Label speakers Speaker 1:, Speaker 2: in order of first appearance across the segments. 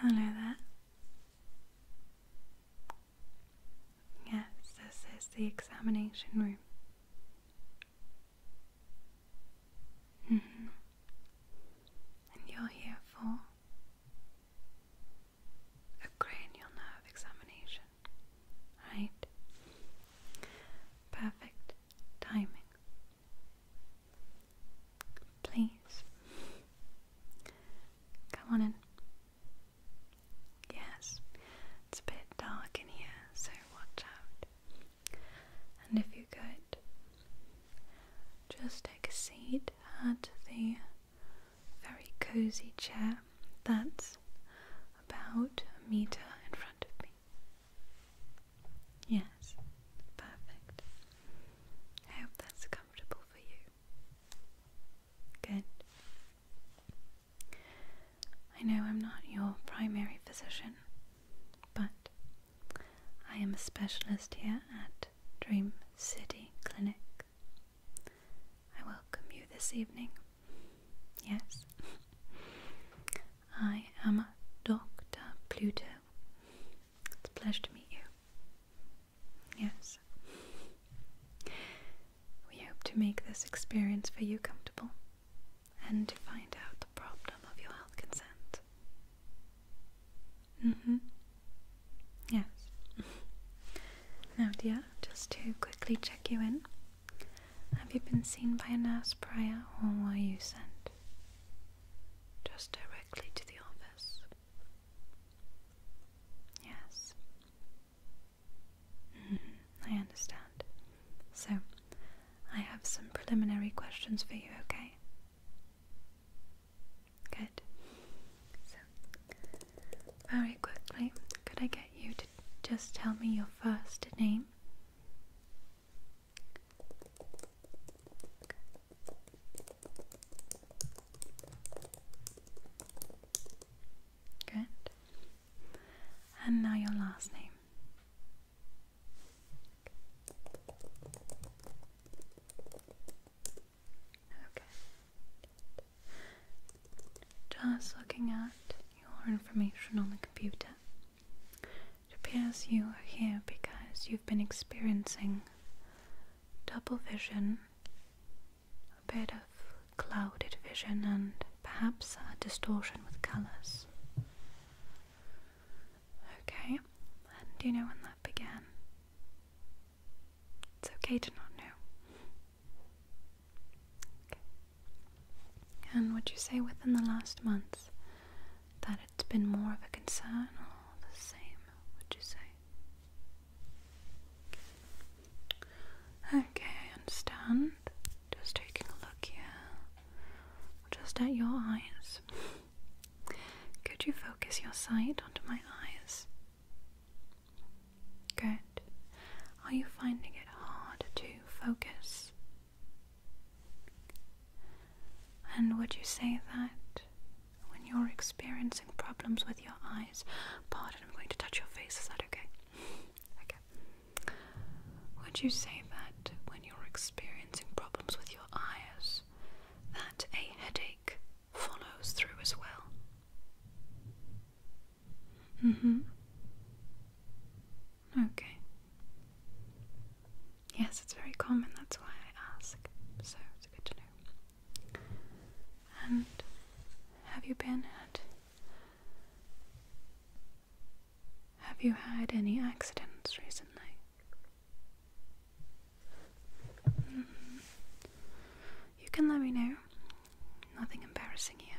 Speaker 1: Hello there. Yes, this is the examination room. Mm-hmm. And you're here for a cranial nerve examination right? Perfect timing. Please come on in. Yes, it's a bit dark in here, so watch out. And if you could, just take a seat at the very cozy chair that's about a meter in front of me. Yes, perfect. I hope that's comfortable for you. Good. I know I'm not your primary physician, but I am a specialist here at Dream City Clinic. I welcome you this evening Yes. I am Dr. Pluto. It's a pleasure to meet you. Yes. We hope to make this experience for you comfortable and to find out the problem of your health consent. Mm hmm. Yes. now, dear, just to quickly check you in. Have you been seen by a nurse prior or were you sent? Just directly to the office. Yes. Mm-hmm. I understand. So, I have some preliminary questions for you, okay? Good. So, very quickly, could I get you just tell me your first name? Good. And now your last name. Okay just looking at your information on the computer. It appears you are here because you've been experiencing double vision, a bit of clouded vision, and perhaps a distortion with colours. Okay, and do you know when that began? It's okay to not know. And would you say within the last months that it's been more of a concern or the same, would you say? Okay, I understand. Just taking a look here, just at your eyes. Could you focus your sight onto my eyes? Good. Are you finding it hard to focus? And would you say that when you're experiencing problems with your eyes? Pardon, I'm going to touch your face, is that okay? okay. Would you say that when you're experiencing problems with your eyes, that a headache follows through as well? Mm-hmm. Okay. Yes, it's very common, that's why I ask. So it's good to know. And have you been at have you had any accidents recently? Mm-hmm. You can let me know. Nothing embarrassing here.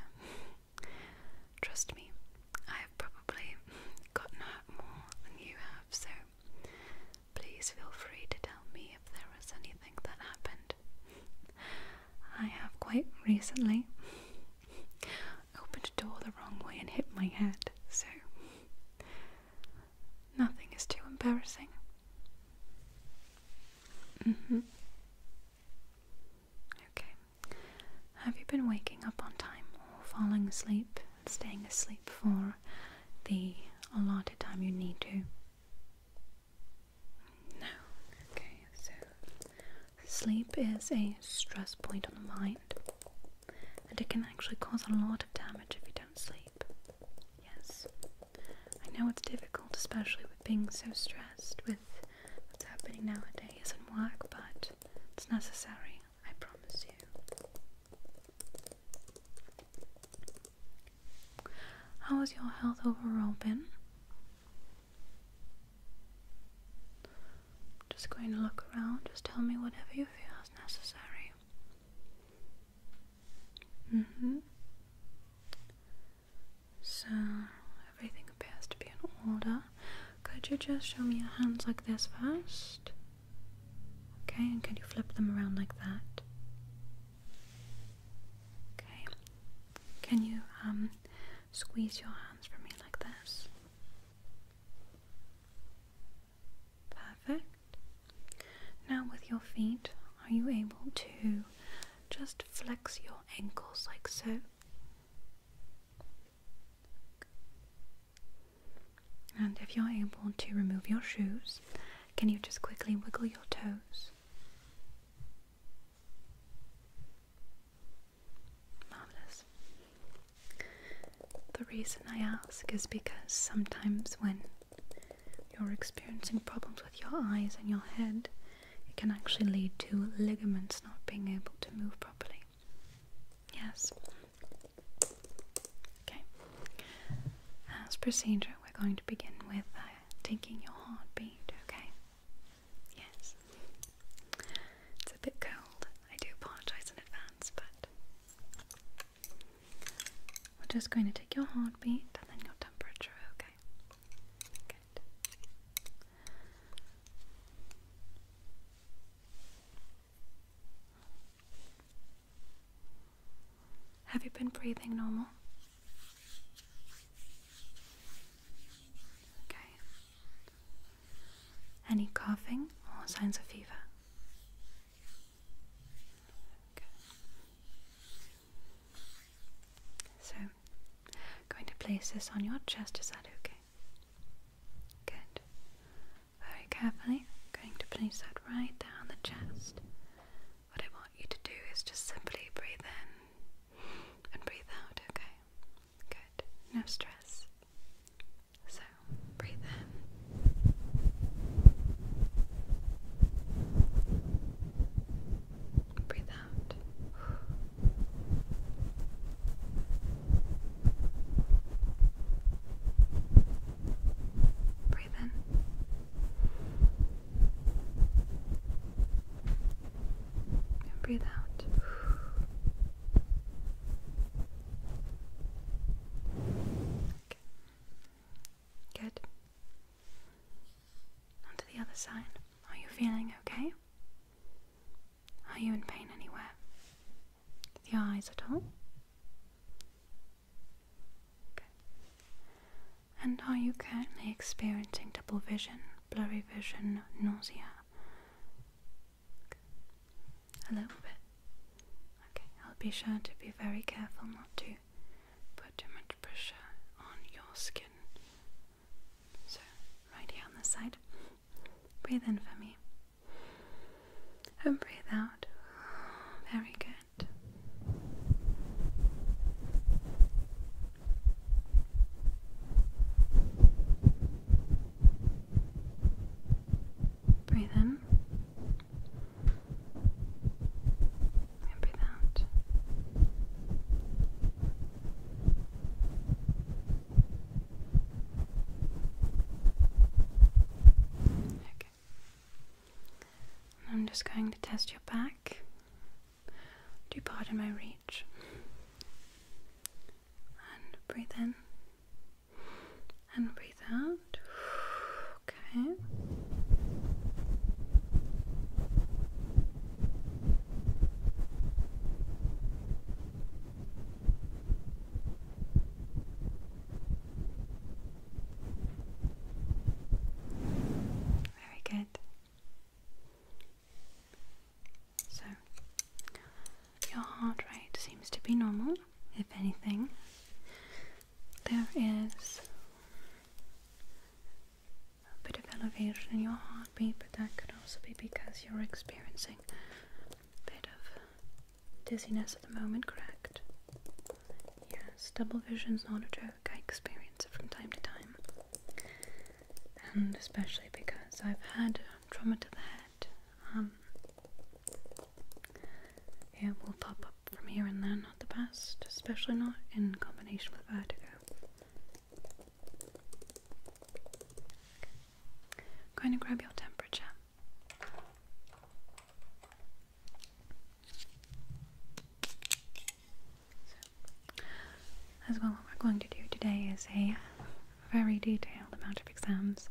Speaker 1: Trust me, I have probably gotten hurt more than you have, so please feel free to tell me if there was anything that happened. I have quite recently opened a door the wrong way and hit my head, so nothing is too embarrassing. Mm-hmm. Okay. Have you been waking up on time or falling asleep and staying asleep for the allotted time you need to? No. Okay, so sleep is a stress point on the mind and it can actually cause a lot of damage if you don't sleep. Yes. I know it's difficult, especially with being so stressed with what's happening nowadays isn't work, but it's necessary, I promise you. How has your health overall been? Just going to look around, just tell me whatever you feel is necessary. Mm hmm. So everything appears to be in order. Could you just show me your hands like this first? Okay, and can you flip them around like that? Okay. Can you um, squeeze your hands for me like this? Perfect. Now with your feet, are you able to just flex your ankles like so? And if you're able to remove your shoes, can you just quickly wiggle your toes? Marvelous. The reason I ask is because sometimes when you're experiencing problems with your eyes and your head, it can actually lead to ligaments not being able to move properly. Yes. Okay. As procedure, we're going to begin with uh, taking your heartbeat, okay? Yes. It's a bit cold. I do apologize in advance, but we're just going to take your heartbeat and then your temperature, okay? Have you been breathing normal? Okay. Any coughing or signs of fever? Okay. So going to place this on your chest. Is that okay? Good. Very carefully, going to place that right down the chest. What I want you to do is just simply breathe in and breathe out, okay? Good. No stress. So, breathe in. Breathe out. Breathe in. breathe out. Okay. Good. Onto the other side. Are you feeling okay? Are you in pain anywhere? With your eyes at all? Okay. And are you currently experiencing double vision, blurry vision, nausea? A little bit. Okay, I'll be sure to be very careful not to put too much pressure on your skin. So, right here on the side. Breathe in for me. And breathe out. Very good. Breathe in. And breathe out. Okay. I'm just going to test your back. Do you pardon my reach? And breathe in. And breathe out. Okay. Very good. So, your heart rate seems to be normal, if anything. There is a bit of elevation in your heart but that could also be because you're experiencing a bit of dizziness at the moment, correct? Yes, double vision's not a joke. I experience it from time to time. And especially because I've had trauma to the head. Um, it will pop up from here and there, not the best, especially not in combination with vertigo. I'm going to grab your temperature. as well, what we're going to do today is a very detailed amount of exams.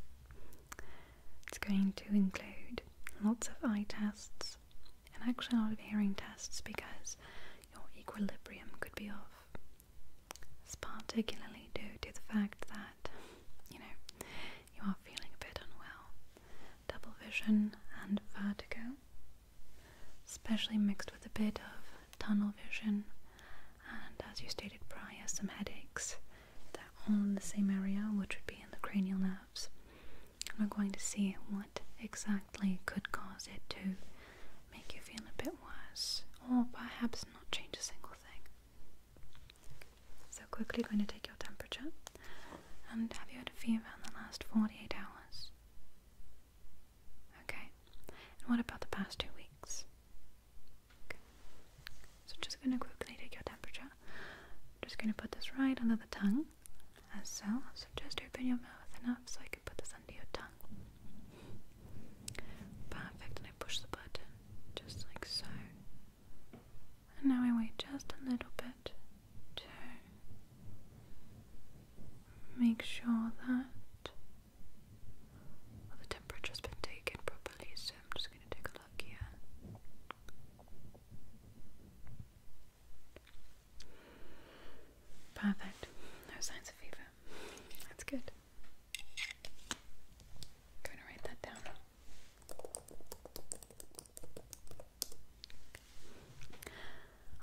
Speaker 1: It's going to include lots of eye tests and actually a lot of hearing tests because your equilibrium could be off. It's particularly due to the fact that, you know, you are feeling a bit unwell. Double vision and vertigo, especially mixed with a bit of tunnel vision, and as you stated prior, some headaches. that are all in the same area, which would be in the cranial nerves. we're going to see what exactly could cause it to make you feel a bit worse, or perhaps not change a single thing. So, quickly going to take your temperature. And have you had a fever in the last 48 hours? Okay. And what about the past two weeks? Okay. So, just going to quickly take your temperature. just going to put this right under the tongue, as so. So, just open your mouth enough so I can put this under your tongue. Perfect, and I push the button just like so. And now I wait just a little bit to make sure that the temperature's been taken properly, so I'm just going to take a look here. Perfect. No signs of fever. That's good. I'm going to write that down.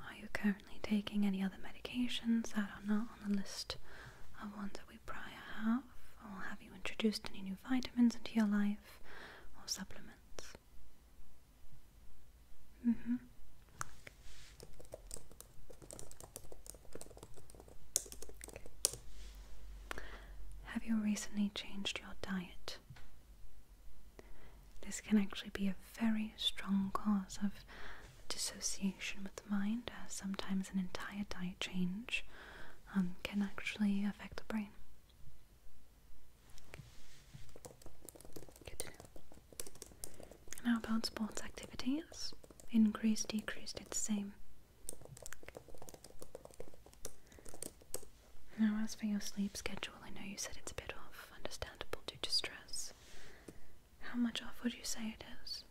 Speaker 1: Are you currently taking any other medications that are not on the list of ones that we prior have? Or have you introduced any new vitamins into your life or supplements? Mm-hmm. Have you recently changed your diet? This can actually be a very strong cause of dissociation with the mind, as sometimes an entire diet change um, can actually affect the brain. Good how about sports activities? Increased, decreased, it's the same. Now, as for your sleep schedule, I know you said it's a bit off, understandable due to stress. How much off would you say it is?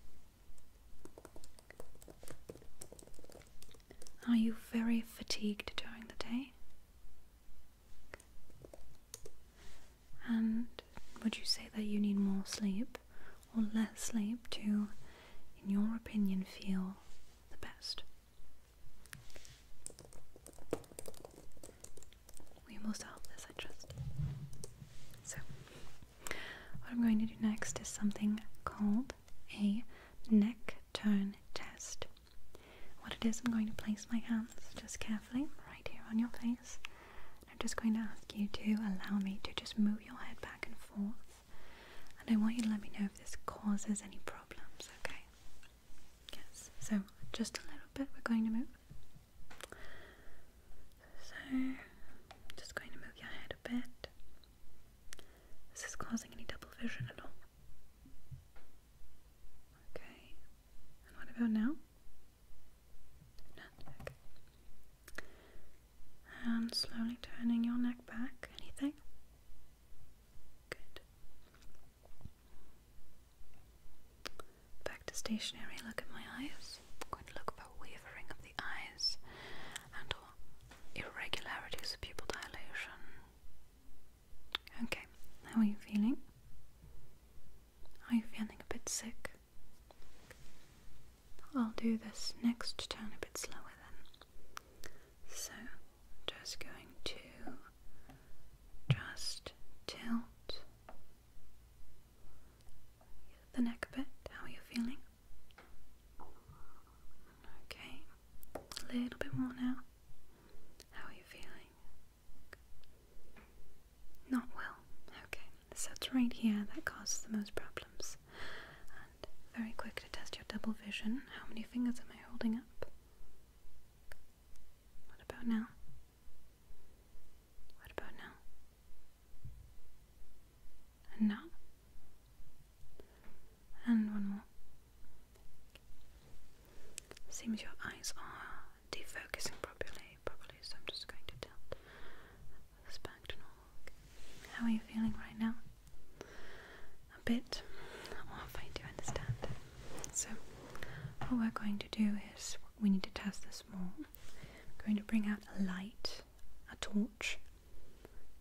Speaker 1: Are you very fatigued during the day? And would you say that you need more sleep? or less sleep to, in your opinion, feel the best? We almost solved this, I trust. So, what I'm going to do next is something called a neck turn test. What it is, I'm going to place my hands just carefully right here on your face. I'm just going to ask you to allow me to just move your head back and forth. And I want you to let me know if this causes any problems, okay? Yes, so just a little bit, we're going to move. So, just going to move your head a bit. Is this causing any double vision at all? Okay. And what about now? And slowly turning your neck back. Anything? Good. Back to stationary. Look at my eyes. I'm going to look for wavering of the eyes and or irregularities of pupil dilation. Okay, how are you feeling? Are you feeling a bit sick? I'll do this next turn a bit slower then. So, just going to just tilt the neck a bit. How are you feeling? Okay, a little bit more now. How are you feeling? Not well. Okay, so it's right here that causes the most problems. And very quick to test your double vision. How many fingers am I holding up? What about now? What about now? And now? And one more. Seems your eyes are defocusing properly, probably, so I'm just going to tilt Spagdanorg. How are you feeling right now? A bit off, I do understand. So, what we're going to do is we need to test this more. I'm going to bring out a light, a torch,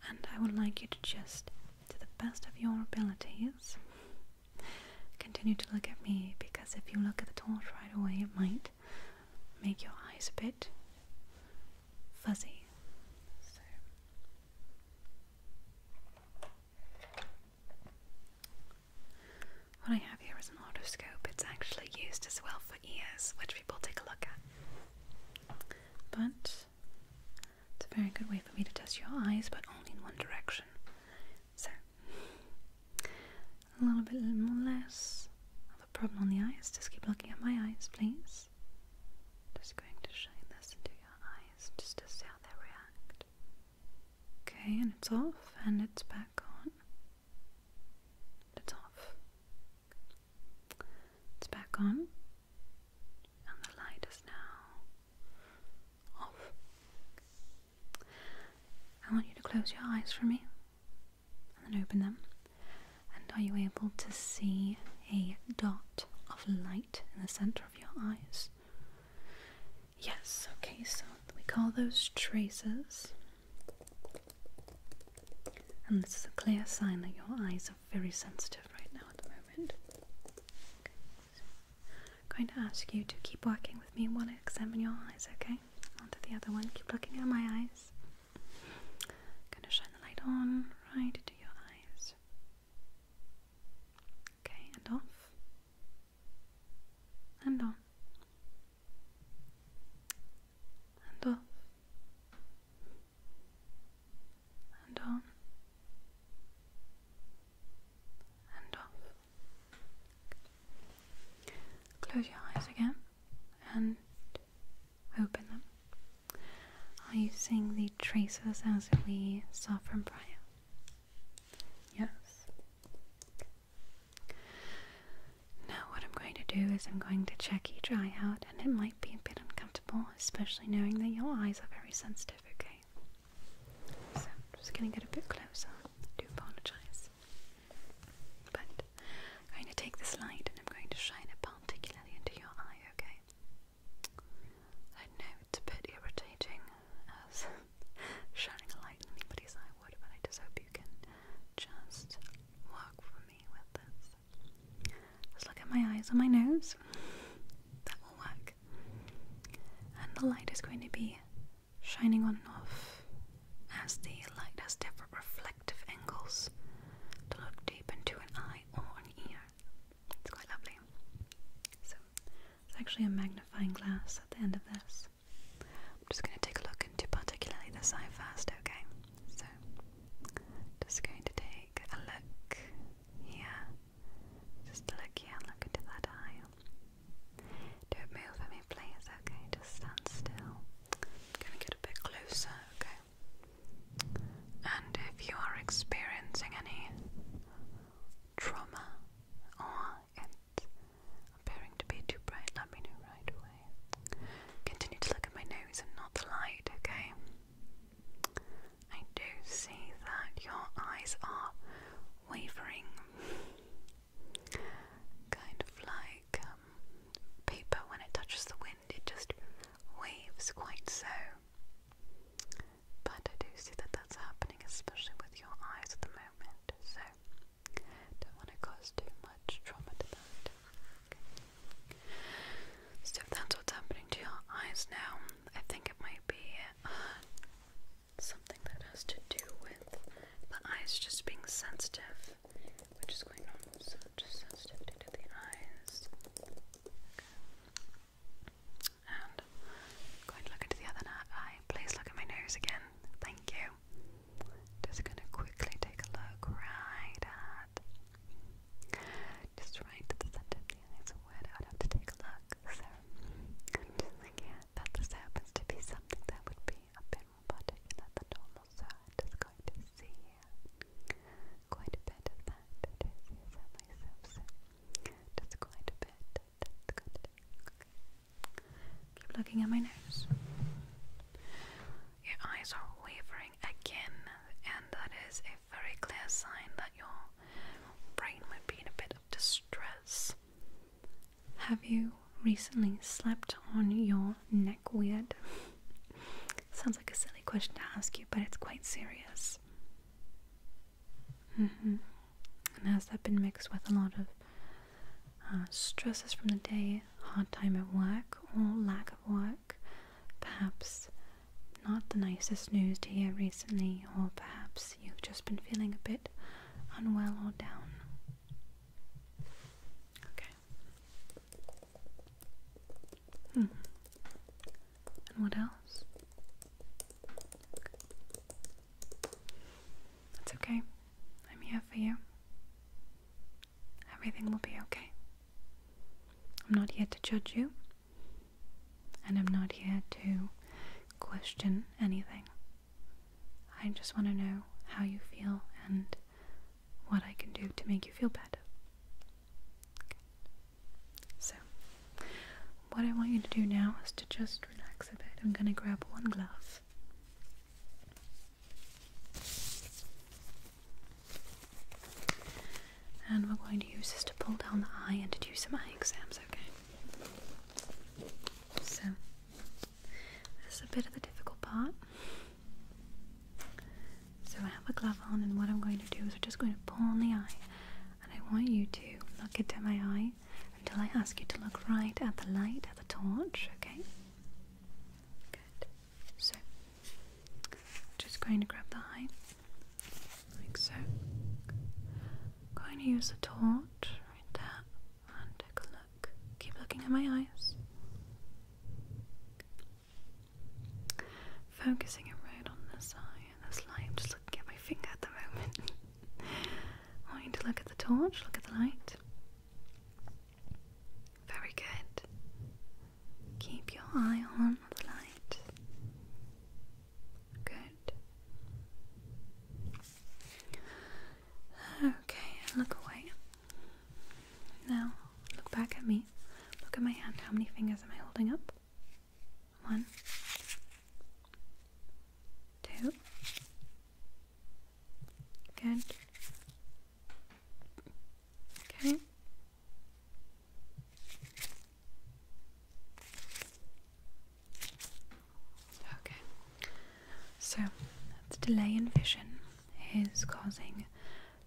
Speaker 1: and I would like you to just, to the best of your abilities, continue to look at me because if you look at the torch right away, it might make your eyes a bit fuzzy. What I have here is an otoscope. It's actually used as well for ears, which people take a look at. But it's a very good way for me to test your eyes, but only in one direction. So, a little bit more less, problem on the eyes. Just keep looking at my eyes, please. Just going to shine this into your eyes just to see how they react. Okay, and it's off and it's back on. It's off. It's back on. And the light is now off. I want you to close your eyes for me and open them. And are you able to see a dot of light in the center of your eyes? Yes, okay, so we call those traces. And this is a clear sign that your eyes are very sensitive right now at the moment. I'm going to ask you to keep working with me while I examine your eyes, okay? Onto the other one. Keep looking at my eyes. Gonna shine the light on right into your eyes. Okay, and off. And on. And off. And on. And off. Close your eyes again and open them are you seeing the traces as we saw from prior? Yes. Now what I'm going to do is I'm going to check each dry out and it might be a bit uncomfortable, especially knowing that your eyes are very sensitive, okay? So I'm just gonna get a bit closer. do apologize. But I'm going to take this light and I'm going to shine it particularly into your eye, okay? I know it's a bit irritating as shining a light in anybody's eye would, but I just hope you can just work for me with this. Just look at my eyes and my nose. That will work. And the light is going to be shining on and off as the light has different reflections of angles to look deep into an eye or an ear. It's quite lovely. So, there's actually a magnifying glass at the end of this. I'm just going to take a look into particularly the eye first, okay? So, just going to take a look here. Just look here and look into that eye. Don't move for me, please, okay? Just stand still. I'm gonna get a bit closer, okay? And if you are experiencing any trauma or it's appearing to be too bright, let me know right away. Continue to look at my nose and not the light, okay? I do see that your eyes are wavering. Kind of like um, paper when it touches the wind it just waves quite so. But I do see that that's happening, especially with your eyes at the moment, so don't want to cause too much trauma to that. So if that's what's happening to your eyes now, I think it might be uh, something that has to do with the eyes just being sensitive which is quite normal, so just sensitivity to the eyes. And going to look into the other eye. Please look at my nose again. Thank you. Just going to quickly take a look right at just right at the center of the I would have to take a look. So i that this happens to be something that would be a bit more particular than normal, so just going to see quite a bit of that. It is, yes, I myself, so quite a bit. That's good. Okay. Keep looking at my nose. Your eyes are wavering again, and that is a very clear sign that your brain might be in a bit of distress. Have you recently slept on your neck weird? Sounds like a silly question to ask you, but it's quite serious. Mm-hmm. And has that been mixed with a lot of uh, stresses from the day, hard time at work, or lack of work? Perhaps not the nicest news to hear recently, or perhaps you've just been feeling a bit unwell or down. Okay. Hmm. And what else? It's okay. I'm here for you. Everything will be okay. I'm not here to judge you, and I'm not here to question anything. I just want to know how you feel and what I can do to make you feel better. So, what I want you to do now is to just relax a bit. I'm going to grab one glove. And we're going to use this to pull down the eye and to do some eye exams, okay? So, this is a bit of the difficult part. So I have a glove on, and what I'm going to do is I'm just going to pull on the eye, and I want you to look at my eye until I ask you to look right at the light, at the torch, okay? Good. So, just going to grab the eye, like so. I'm going to use the torch right there and take a look. Keep looking at my eyes. Focusing it right on this eye and this light. just looking at my finger at the moment. I want you to look at the torch, look at the light. Very good. Keep your eye on the light. Good. Okay, look away. Now, look back at me. Look at my hand. How many fingers am I holding up? One, two. Good. Okay. Okay. So, the delay in vision is causing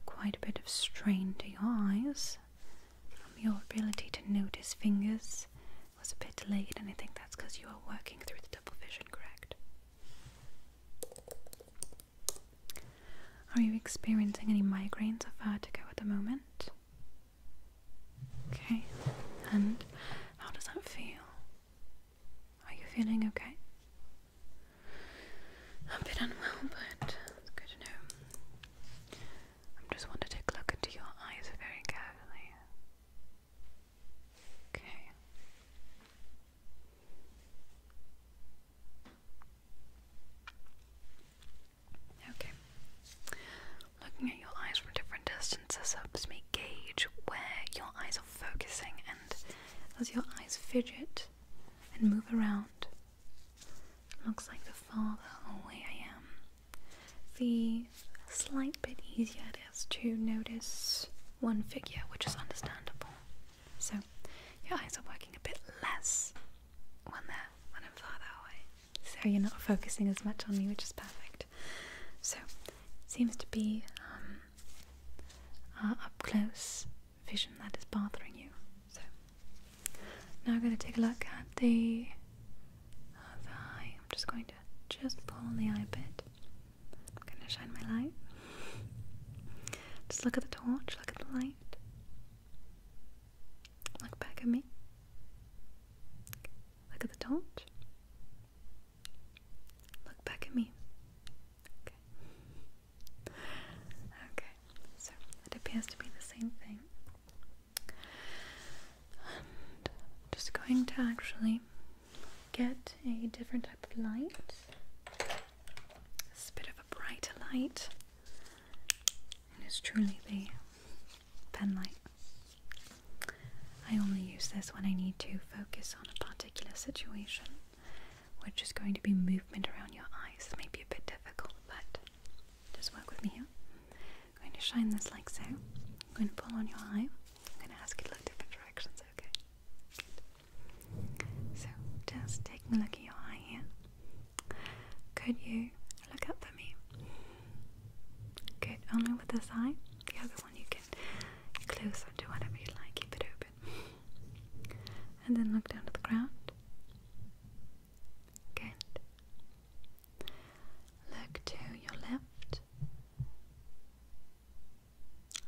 Speaker 1: quite a bit of strain to your eyes. Um, your ability to notice fingers was a bit delayed, and I think that's because you are working through the double vision, correct? Are you experiencing any migraines or vertigo at the moment? Okay, and how does that feel? Are you feeling okay? I'm a bit unwell, but it's good to know. I just want to take a look into your eyes very carefully. Okay. Okay. Looking at your eyes from different distances helps me gauge where your eyes are focusing and as your eyes fidget and move around, Looks like the farther away I am, the slight bit easier it is to notice one figure, which is understandable. So your eyes are working a bit less when they're when farther away. So you're not focusing as much on me, which is perfect. So seems to be um, uh, up close vision that is bothering you. So now I'm going to take a look at the eye. I'm just going to just pull on the eye a bit. I'm going to shine my light. Just look at the torch, look at the light. Look back at me. Look at the torch. Look back at me. Okay. Okay, so it appears to be the same thing. I'm just going to actually get a different type of light. It's a bit of a brighter light. And it's truly the pen light. I only use this when I need to focus on a particular situation. We're just going to be movement around your eyes. It may be a bit difficult, but just work with me here. I'm going to shine this like so. I'm going to pull on your eye. I'm going to ask you to look different directions, okay? So, just taking a look at your eye here. Could you look up for me? Good. Only with this eye. The other one you can close or do whatever you like, keep it open. And then look down to the ground. Good. Look to your left.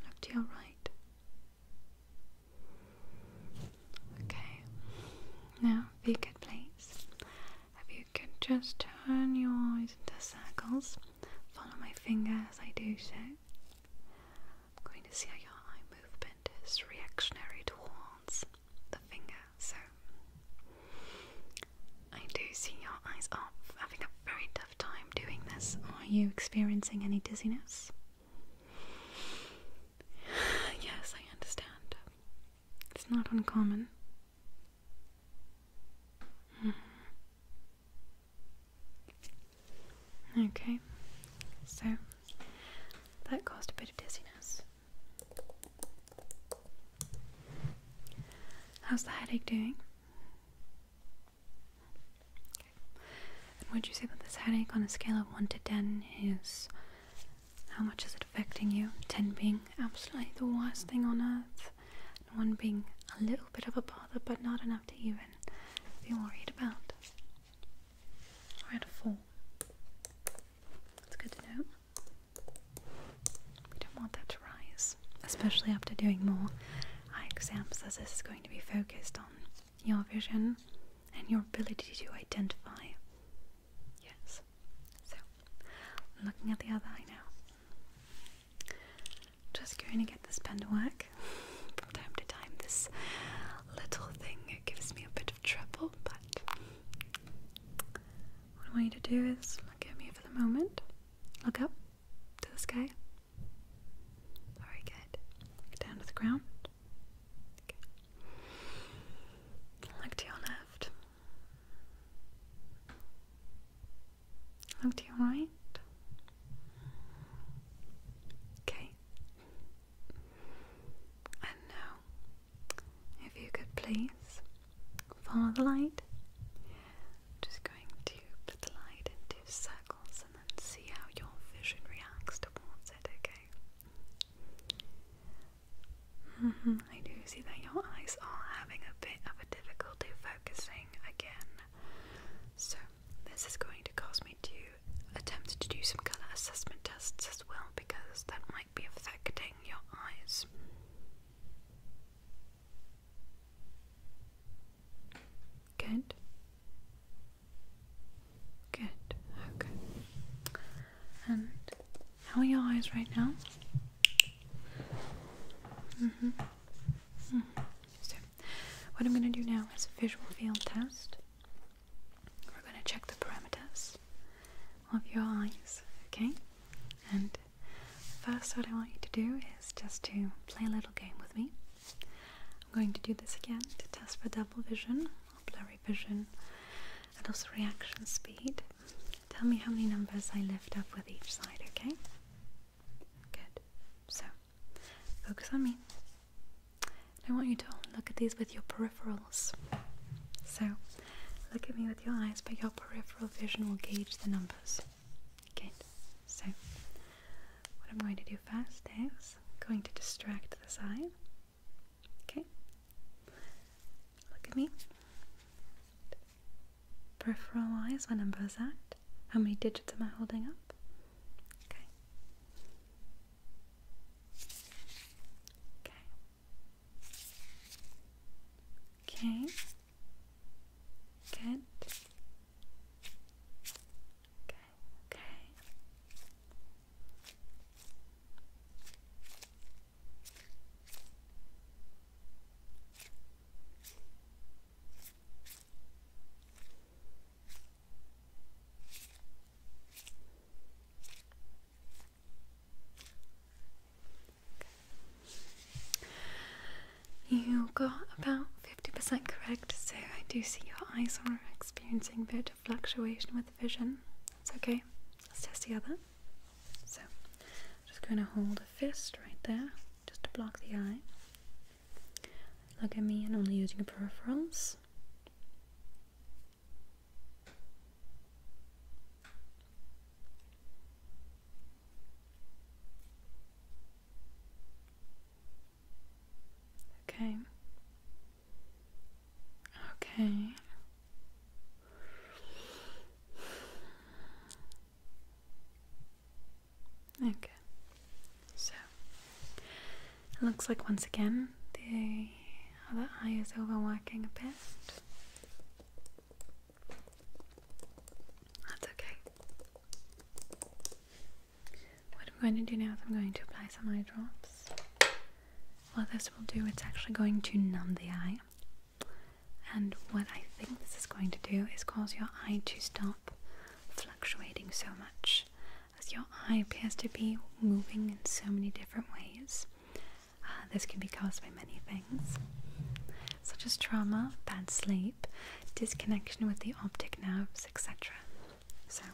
Speaker 1: Look to your right. Okay. Now, if you could please, if you could just turn your eyes into circles, follow my finger as I do so. I'm going to see how your eye movement is reactionary towards the finger. So I do see your eyes are having a very tough time doing this. Are you experiencing any dizziness? yes, I understand. It's not uncommon. Mm-hmm. Okay, so that caused a bit of dizziness. How's the headache doing? Okay. And would you say that this headache on a scale of 1 to 10 is how much is it affecting you? 10 being absolutely the worst thing on earth, 1 being a little bit of a bother but not enough to even be worried about. I had a 4. That's good to know. We don't want that to rise, especially after doing more eye exams, this is going to be focused on your vision and your ability to identify. Yes. So, looking at the other eye now. Just going to get this pen to work. From time to time, this little thing gives me a bit trouble, but what I want you to do is look at me for the moment. Look up to the sky. Very good. Look down to the ground. Look to your left. Look to your right. Okay. And now, if you could please follow the light. I'm just going to put the light into circles and then see how your vision reacts towards it, okay? Mm-hmm, I do see that your eyes are having a bit of a difficulty focusing again. So, this is going to cause me to attempt to do some colour assessment tests as well because that might be affecting your eyes. Good. Good. Okay. And how are your eyes right now? Mhm. Mm so, what I'm going to do now is a visual field test. We're going to check the parameters of your eyes, okay? And first, what I want you to do is just to play a little game with me. I'm going to do this again to test for double vision or blurry vision and also reaction speed. Tell me how many numbers I lift up with each side, okay? Good. So, focus on me. I want you to look at these with your peripherals. So, look at me with your eyes, but your peripheral vision will gauge the numbers. Okay, so what I'm going to do first is going to distract the eye. Okay, look at me. Peripheral eyes, what number is How many digits am I holding up? Okay. Okay. Okay. Good. Okay. Okay. You got about 50% correct, so I do see your eyes are experiencing bit of fluctuation with vision. It's okay. Let's test the other. So, just going to hold a fist right there, just to block the eye. Look at me and only using your peripherals. Okay. Okay. Okay. So it looks like once again the other eye is overworking a bit. That's okay. What I'm going to do now is I'm going to apply some eye drops. What this will do, it's actually going to numb the eye. And what I think this is going to do is cause your eye to stop fluctuating so much as your eye appears to be moving in so many different ways. Uh, this can be caused by many things, such as trauma, bad sleep, disconnection with the optic nerves, etc. So,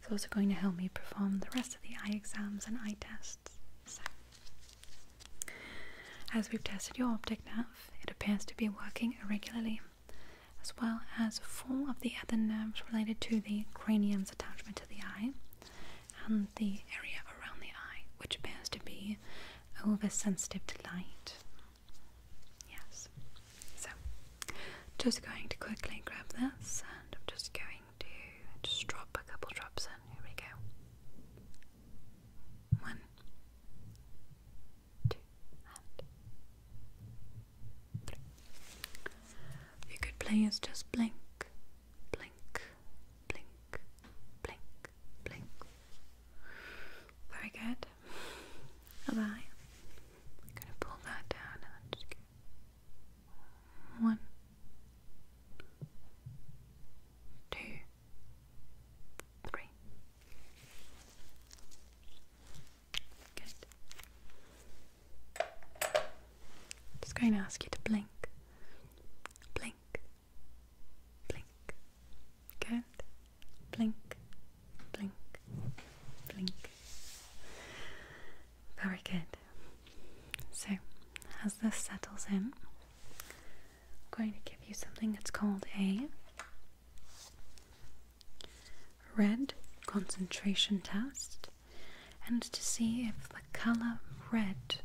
Speaker 1: it's also going to help me perform the rest of the eye exams and eye tests. So, as we've tested your optic nerve, it appears to be working irregularly, as well as four of the other nerves related to the cranium's attachment to the eye, and the area around the eye, which appears to be oversensitive to light. Yes. So, just going to quickly grab this, and I'm just going to just drop a couple drops in. Here we go. One, two, and three. you could please just blink, blink, blink, blink, blink. Very good. Bye. I'm gonna pull that down and just get one, two, three. Good i just going to ask you to blink, blink, blink. Good. Blink, blink, blink. Very good. So, as this settles in, I'm going to give you something that's called a red concentration test and to see if the color red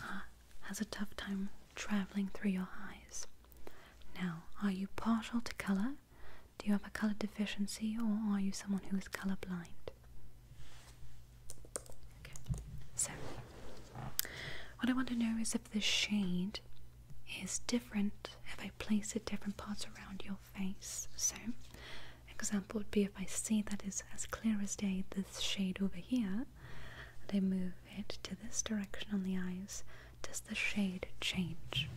Speaker 1: uh, has a tough time traveling through your eyes. Now, are you partial to color? Do you have a color deficiency or are you someone who is color blind? so what I want to know is if this shade is different if I place it different parts around your face. So, example would be if I see that is as clear as day this shade over here, and I move it to this direction on the eyes, does the shade change?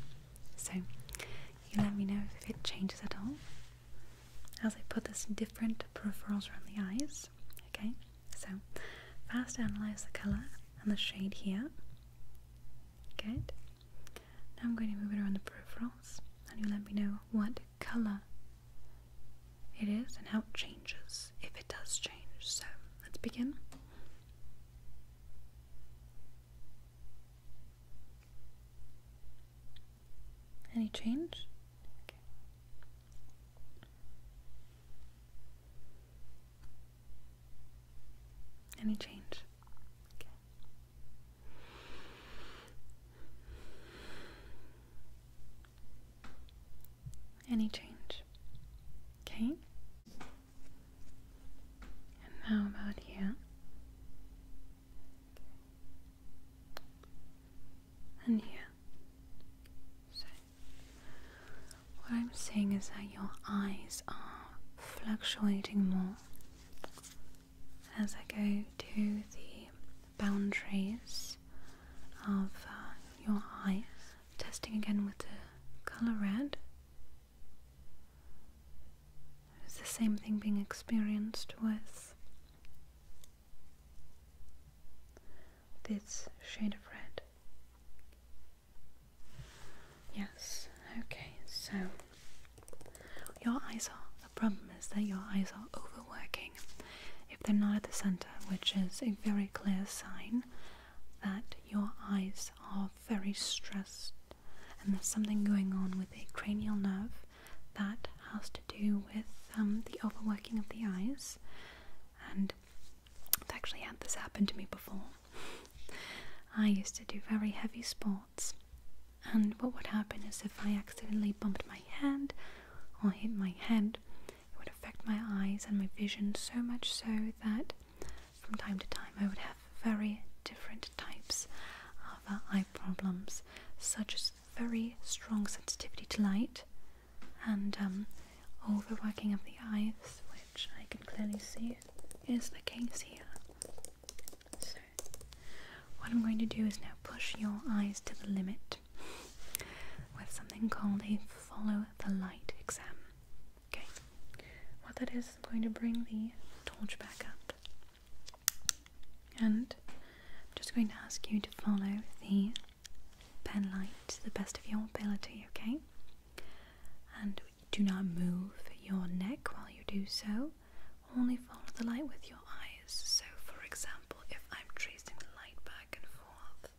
Speaker 1: So, you let me know if it changes at all. As I put this different peripherals around the eyes, okay? So, first analyze the color and the shade here. Good. Now I'm going to move it around the peripherals, and you let me know what color it is and how it changes if it does change. So let's begin. Any change? Okay. Any change? Okay. Any change. Okay? And how about here? And here. So, what I'm seeing is that your eyes are fluctuating more as I go to the boundaries of uh, your eye, testing again with the color red. Is the same thing being experienced with this shade of red? Yes, okay, so your eyes are. The problem is that your eyes are overworking if they're not at the center, which is a very clear sign that your eyes are very stressed and there's something going on with a cranial nerve that has to do with um, the overworking of the eyes. And I've actually had this happen to me before. I used to do very heavy sports and what would happen is if I accidentally bumped my hand or hit my head, it would affect my eyes and my vision so much so that from time to time I would have very different types of uh, eye problems, such as very strong sensitivity to light and um, overworking of the eyes, which I can clearly see is the case here. So, what I'm going to do is now push your eyes to the limit with something called a follow the light exam. Okay, what that is, I'm going to bring the torch back up and I'm just going to ask you to follow the pen light to the best of your ability, okay? And do not move your neck while you do so. Only follow the light with your eyes. So, for example, if I'm tracing the light back and forth,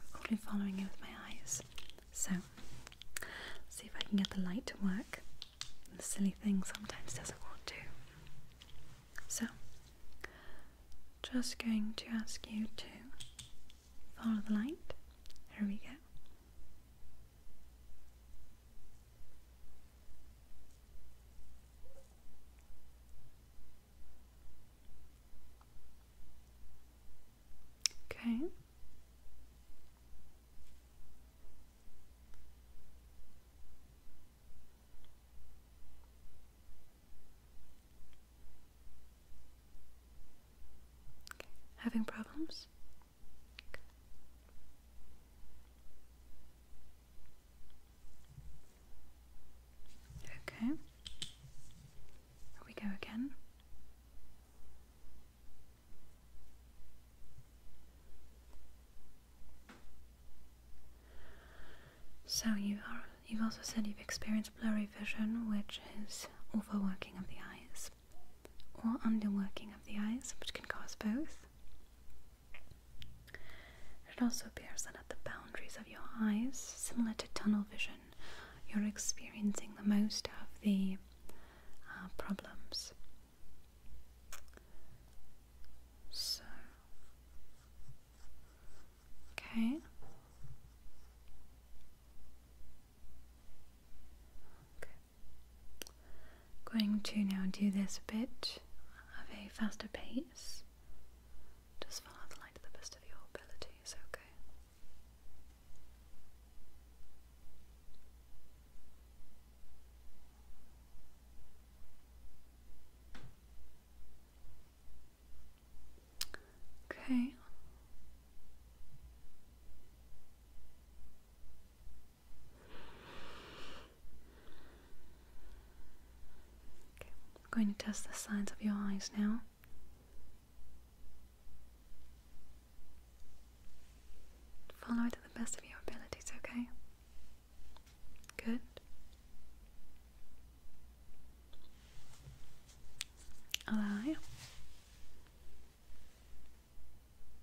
Speaker 1: I'm only following it with my eyes. So, see if I can get the light to work. The silly thing sometimes doesn't want to. So, just going to ask you to follow the light. Here we go. Okay. Having problems? Okay. we go again. So you are you've also said you've experienced blurry vision, which is overworking of the eyes or underworking of the eyes, which can cause both. It also appears that at the boundaries of your eyes, similar to tunnel vision, you're experiencing the most of the uh, problems. So, Okay going to now do this bit at a faster pace. Just follow the light to the best of your abilities, okay? Okay. I'm going to test the sides of your eyes now. Follow it to the best of your abilities, okay? Good. Other eye.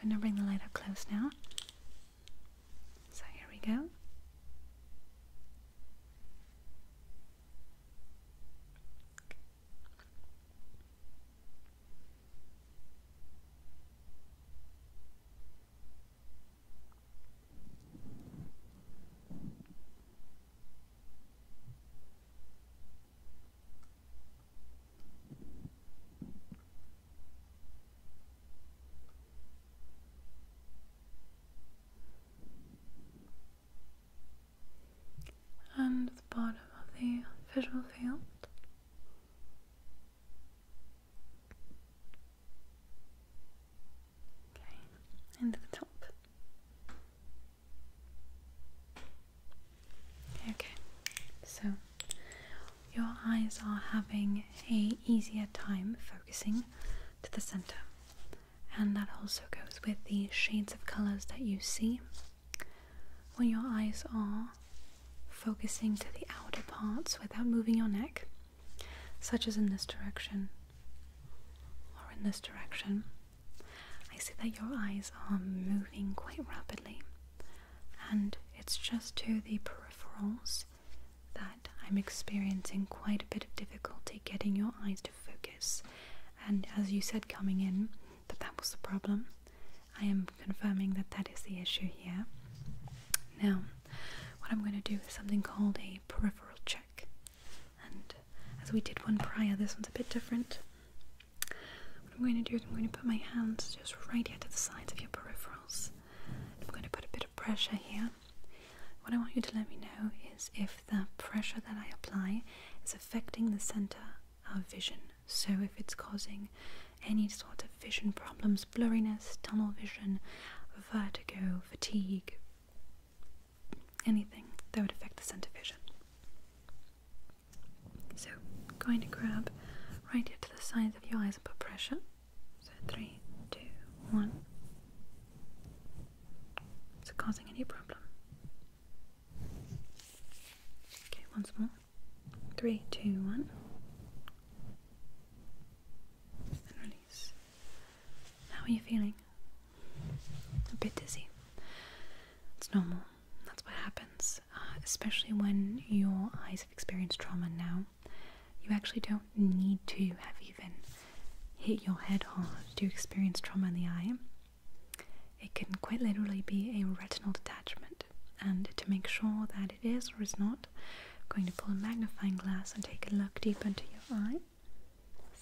Speaker 1: I'm going to bring the light up close now. So here we go and the bottom of the visual field. Okay, and the top. Okay, so your eyes are having a easier time focusing to the center, and that also goes with the shades of colors that you see. When your eyes are focusing to the outer parts without moving your neck, such as in this direction or in this direction. I see that your eyes are moving quite rapidly, and it's just to the peripherals that I'm experiencing quite a bit of difficulty getting your eyes to focus. And as you said coming in, that that was the problem. I am confirming that that is the issue here. Now, what I'm going to do is something called a peripheral check. And as we did one prior, this one's a bit different. What I'm going to do is I'm going to put my hands just right here to the sides of your peripherals. I'm going to put a bit of pressure here. What I want you to let me know is if the pressure that I apply is affecting the center of vision. So if it's causing any sort of vision problems, blurriness, tunnel vision, vertigo, fatigue, anything that would affect the center vision. So, going to grab right here to the sides of your eyes and put pressure. So, three, two, one. Is it causing any problem? Okay, once more. Three, two, one. How are you feeling? A bit dizzy. It's normal. That's what happens, uh, especially when your eyes have experienced trauma now. You actually don't need to have even hit your head hard to experience trauma in the eye. It can quite literally be a retinal detachment, and to make sure that it is or is not, I'm going to pull a magnifying glass and take a look deep into your eye.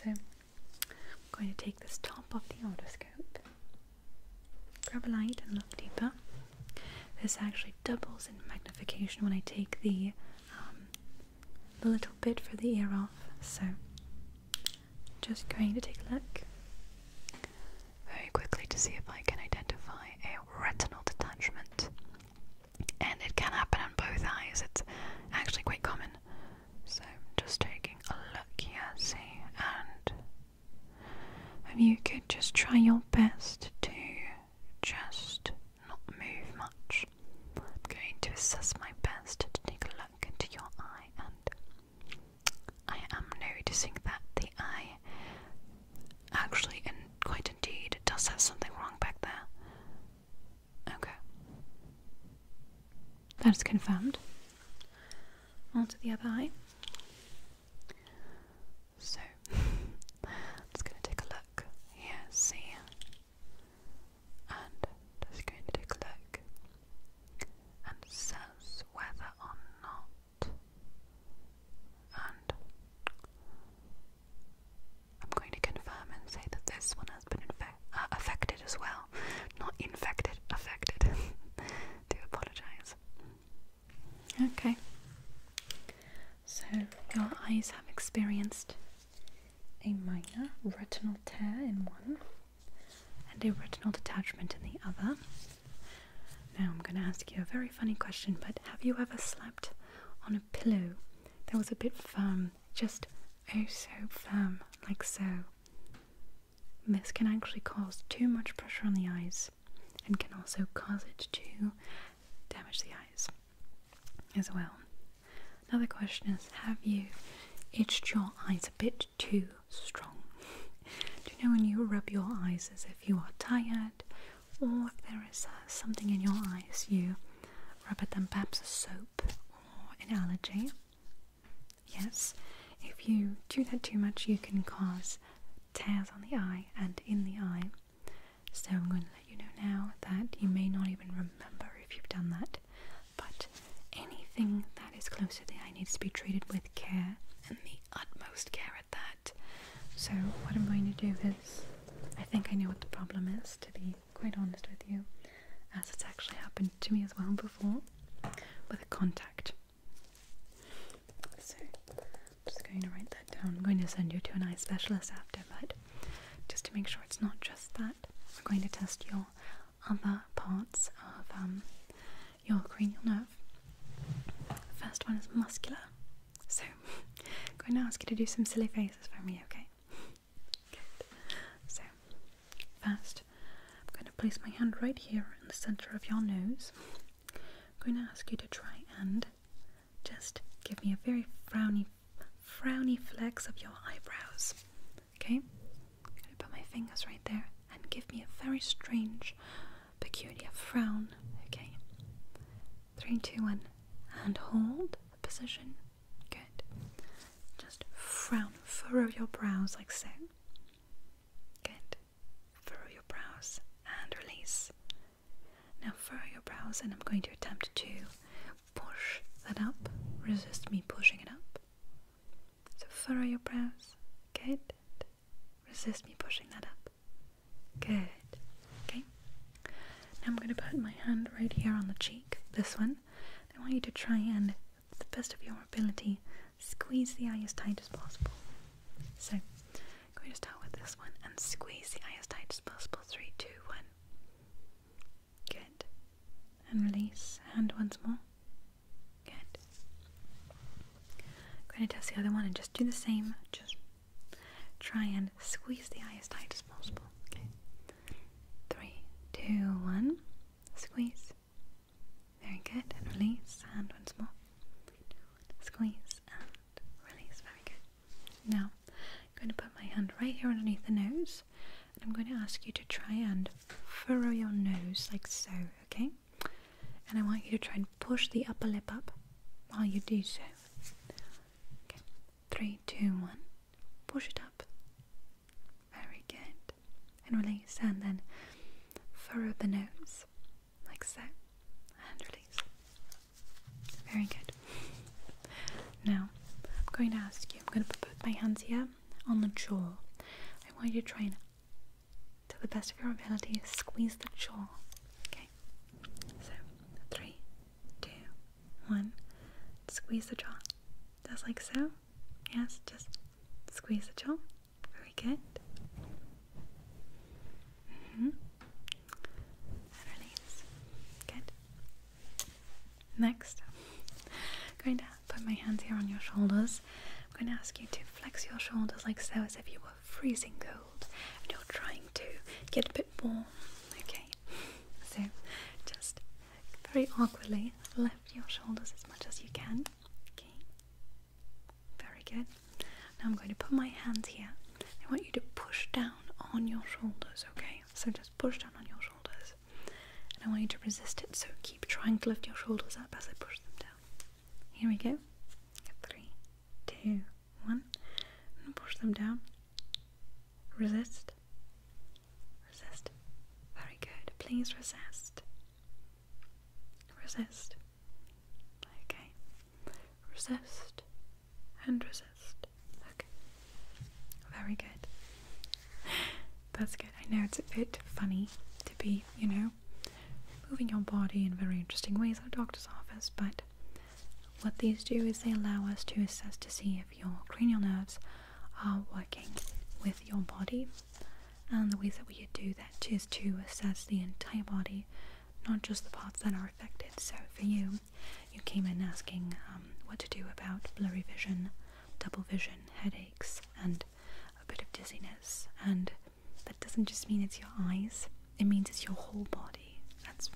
Speaker 1: So I'm going to take this top off the otoscope, grab a light and look deeper. This actually doubles in magnification when I take the, um, the little bit for the ear off. So just going to take a look very quickly to see if I can identify a retinal detachment and it can happen on both eyes. It's actually quite common. So just taking a look here, see, and if you could just try your best to just not move much. I'm going to assess my best to take a look into your eye, and I am noticing that the eye Actually, and quite indeed, it does have something wrong back there. Okay. That's confirmed. On to the other eye. So, just going to take a look here, see, and just going to take a look, and it whether or not, I'm going to confirm and say that this one has been uh, affected as well. Not infected, affected. Do apologize. Okay. So, your eyes have experienced a minor retinal tear in one and a retinal detachment in the other. Now, I'm going to ask you a very funny question, but have you ever slept on a pillow that was a bit firm, just oh so firm, like so. This can actually cause too much pressure on the eyes and can also cause it to damage the eyes as well. Another question is Have you itched your eyes a bit too strong? Do you know when you rub your eyes as if you are tired or if there is uh, something in your eyes, you rub it and perhaps a soap or an allergy. Yes, if you do that too much, you can cause tears on the eye and in the eye. So I'm going to let you know now that you may not even remember if you've done that, but anything that is close to the eye needs to be treated with care and the utmost care at that. So what I'm going to do is I think I know what the problem is, to be quite honest with you, as it's actually happened to me as well before with a contact. So, I'm just going to write that down. I'm going to send you to an eye specialist after, but just to make sure it's not just that, we're going to test your other parts of um, your cranial nerve. The first one is muscular. So, I'm going to ask you to do some silly faces for me, okay? Good. So, first, I'm going to place my hand right here in the center of your nose. I'm going to ask you to try and just give me a very frowny, frowny flex of your eyebrows, okay? I'm going to put my fingers right there and give me a very strange, peculiar frown, okay? Three, two, one, and hold position. Good. Just frown, furrow your brows like so. Good. Furrow your brows and release. Now furrow your brows, and I'm going to attempt to push that up. Resist me pushing it up. So furrow your brows. Good. Resist me pushing that up. Good. Okay. Now I'm going to put my hand right here on the cheek, this one. I want you to try and, to the best of your ability, squeeze the eye as tight as possible. So, I'm going to start with this one and squeeze the eye as tight as possible. Three, two, one. Good. And release. Hand once more. Good. I'm going to test the other one and just do the same. Just Try and squeeze the eye as tight as possible. Okay. Three, two, one. Squeeze. Very good. And release. And once more. Squeeze and release. Very good. Now, I'm going to put my hand right here underneath the nose. And I'm going to ask you to try and furrow your nose like so. Okay. And I want you to try and push the upper lip up while you do so. Okay. Three, two, one. Push it up. Very good. And release. And then furrow the nose, like so. And release. Very good. Now, I'm going to ask you, I'm going to put both my hands here on the jaw. I want you to try to the best of your ability, squeeze the jaw. Okay? So, three, two, one. Squeeze the jaw, just like so. Yes, just squeeze the jaw. Very good. -hmm. And Good. Next, I'm going to put my hands here on your shoulders. I'm going to ask you to flex your shoulders like so, as if you were freezing cold and you're trying to get a bit warm. Okay. So just very awkwardly lift your shoulders as much as you can. Okay. Very good. Now I'm going to put my hands here. I want you to push down on your shoulders, okay? So just push down on your shoulders. And I want you to resist it, so keep trying to lift your shoulders up as I push them down. Here we go. Three, two, one. And push them down. Resist. Resist. Very good. Please resist. Resist. Okay. Resist and resist. Okay. Very good. That's good. I know it's a bit funny to be, you know, moving your body in very interesting ways at a doctor's office, but what these do is they allow us to assess to see if your cranial nerves are working with your body. And the ways that we do that is to assess the entire body, not just the parts that are affected. So for you, you came in asking um, what to do about blurry vision, double vision, headaches, and a bit of dizziness. And that doesn't just mean it's your eyes, it means it's your whole body. That's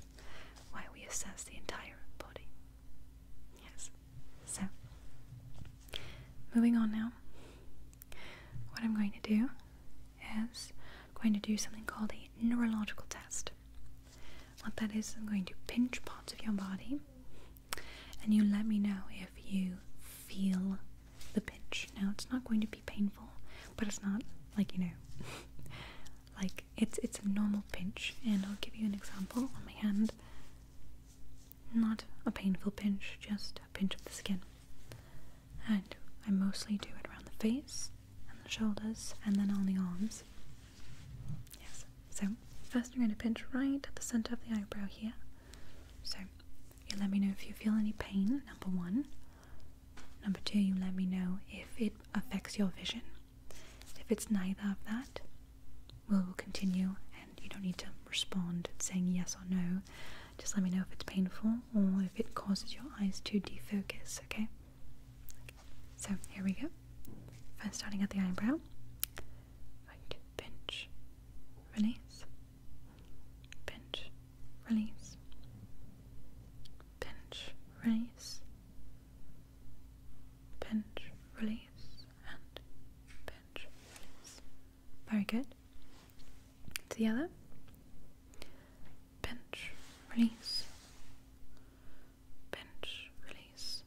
Speaker 1: why we assess the entire body. Yes. So, moving on now, what I'm going to do is I'm going to do something called a neurological test. What that is, I'm going to pinch parts of your body and you let me know if you feel the pinch. Now, it's not going to be painful, but it's not like you know, like it's it's a normal pinch, and I'll give you an example on my hand. Not a painful pinch, just a pinch of the skin. And I mostly do it around the face and the shoulders and then on the arms. Yes. So first I'm going to pinch right at the center of the eyebrow here. So you let me know if you feel any pain, number one. Number two, you let me know if it affects your vision. If it's neither of that, we'll continue and you don't need to respond saying yes or no. Just let me know if it's painful or if it causes your eyes to defocus, okay? So here we go. First, starting at the eyebrow. Right, pinch, release, pinch, release, pinch, release, pinch, release, and pinch, release. Very good. To the other. Pinch, release, pinch, release,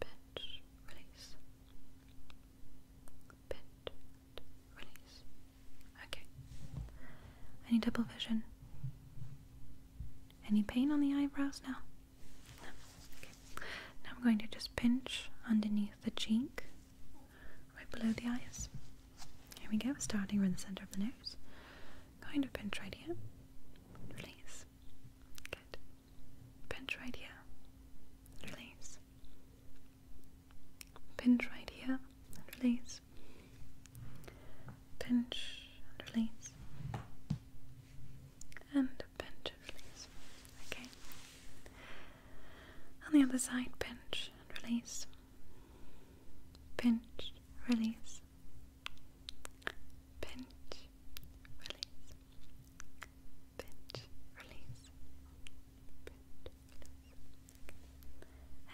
Speaker 1: pinch, release, pinch, release. Okay. Any double vision? Any pain on the eyebrows now? No. Now I'm going to just pinch underneath the cheek, right below the eyes. Here we go, starting from the center of the nose. Kind of pinch right here. Release. Good. Pinch right here. Release. Pinch right here and release. Pinch and release. And pinch and release. Okay. On the other side, pinch and release. Pinch, release. Pinch, release. Pinch, release. Pinch, release.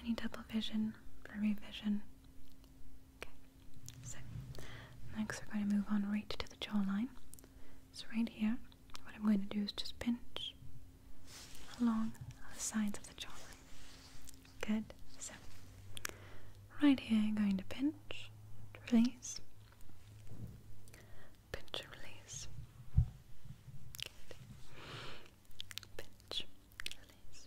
Speaker 1: Any double vision, blurry vision, Okay, so next we're going to move on right to the jawline. So, right here, what I'm going to do is just pinch along the sides of the jawline. Good, so right here, I'm going to pinch, release, pinch, release. Pinch, release.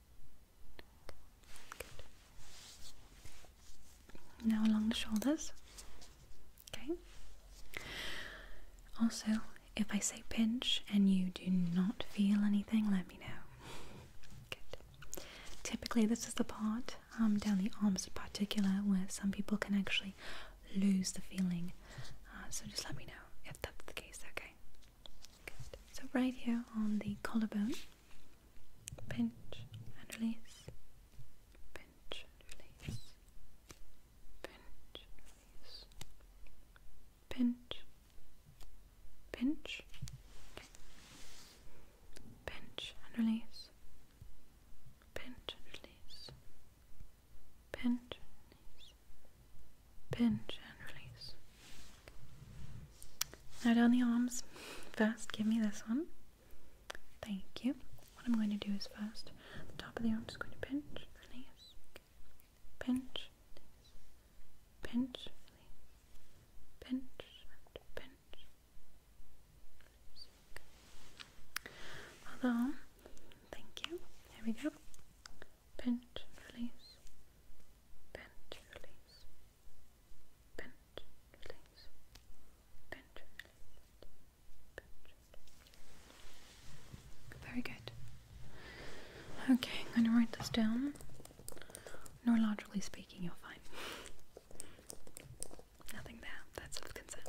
Speaker 1: Now along the shoulders. Okay. Also, if I say pinch and you do not feel anything, let me know. Good. Typically, this is the part um, down the arms in particular where some people can actually lose the feeling. Uh, so just let me know if that's the case, okay? Good. So right here on the collarbone pinch and release, pinch and release, pinch and release, pinch, pinch, pinch and release, pinch release, pinch release, pinch and release, now down the arms. First, give me this one. Thank you. What I'm going to do is first, the top of the arm is going to pinch, release, pinch, release, pinch, release, pinch, pinch. Hold on. Thank you. Here we go. Pinch, release, pinch, release, pinch, very good. Okay, I'm going to write this down. Neurologically speaking, you're fine. Nothing there. That's of concern.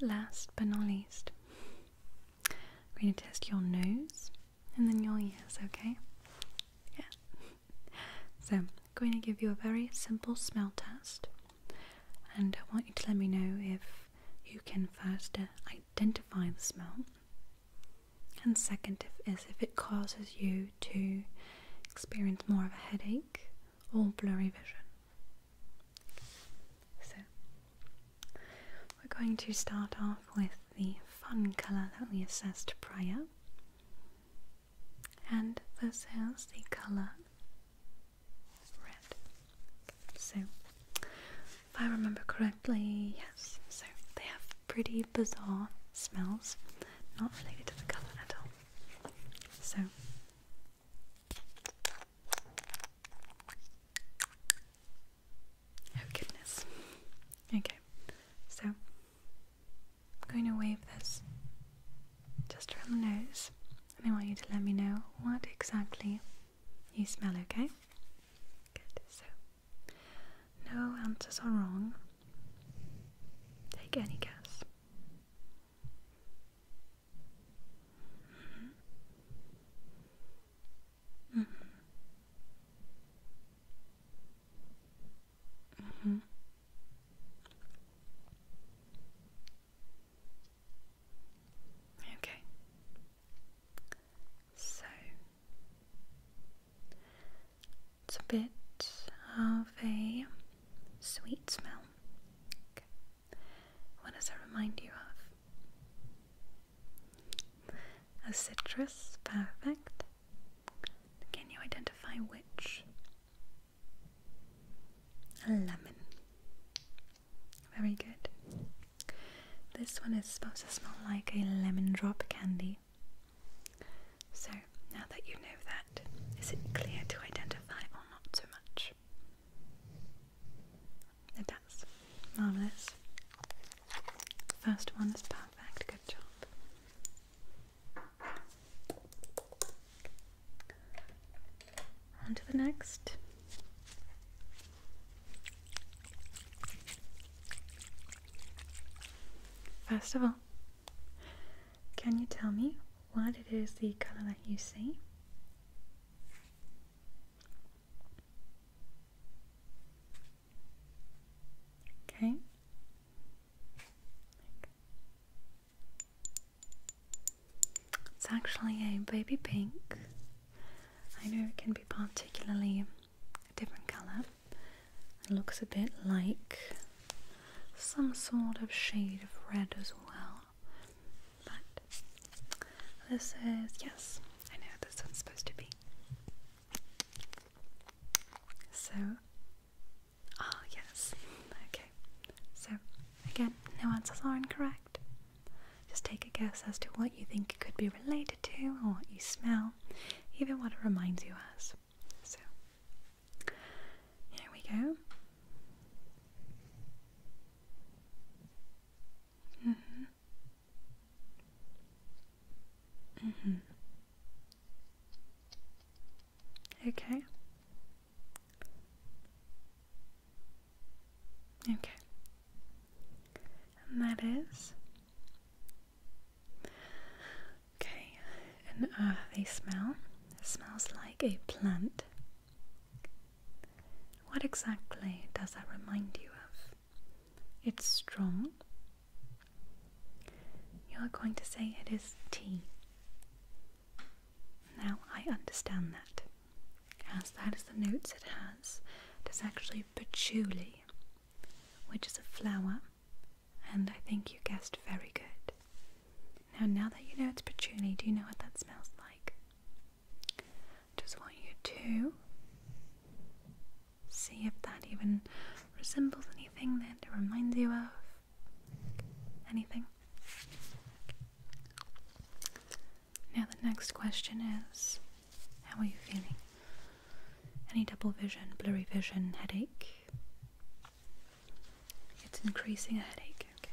Speaker 1: Last but not least, I'm going to test your nose and then you'll use, okay? Yeah. so, I'm going to give you a very simple smell test, and I want you to let me know if you can first uh, identify the smell, and second, if, is if it causes you to experience more of a headache or blurry vision. So, we're going to start off with the fun colour that we assessed prior. And this is the colour red. So, if I remember correctly, yes, so they have pretty bizarre smells, not related to the colour at all. So, Oh goodness. Okay, so I'm going to wave this just around the nose, and I want you to let me know what exactly you smell, okay? Good, so no answers are wrong. Take any guess. Mm-hmm. Mm -hmm. Mm -hmm. Okay. So it's a bit of a sweet smell. What does that remind you of? A citrus, perfect. Can you identify which? A lemon. Very good. This one is supposed to smell like a lemon drop candy. So, now that you know that, is it clear to identify or not so much? Marvelous. First one is perfect. Good job. On to the next. First of all, can you tell me what it is the color that you see? Okay. It's actually a baby pink. I know it can be particularly a different colour. It looks a bit like some sort of shade of red as well. But this is, yes, I know this one's supposed to be so, ah, yes, okay. So, again, no answers are incorrect. Just take a guess as to what you think it could be related to, or what you smell, even what it reminds you as. So, here we go. -hmm. Mm -hmm. Okay. Okay. And that is. Okay, an earthy uh, smell. smells like a plant. What exactly does that remind you of? It's strong. You are going to say it is tea. Now I understand that, as that is the notes it has. It is actually patchouli, which is a flower, and I think you guessed very good. Now, now that you know it's patchouli, do you know what that smells like? Just want you to see if that even resembles anything that it reminds you of. Anything? Now, the next question is How are you feeling? Any double vision, blurry vision, headache? It's increasing a headache, okay.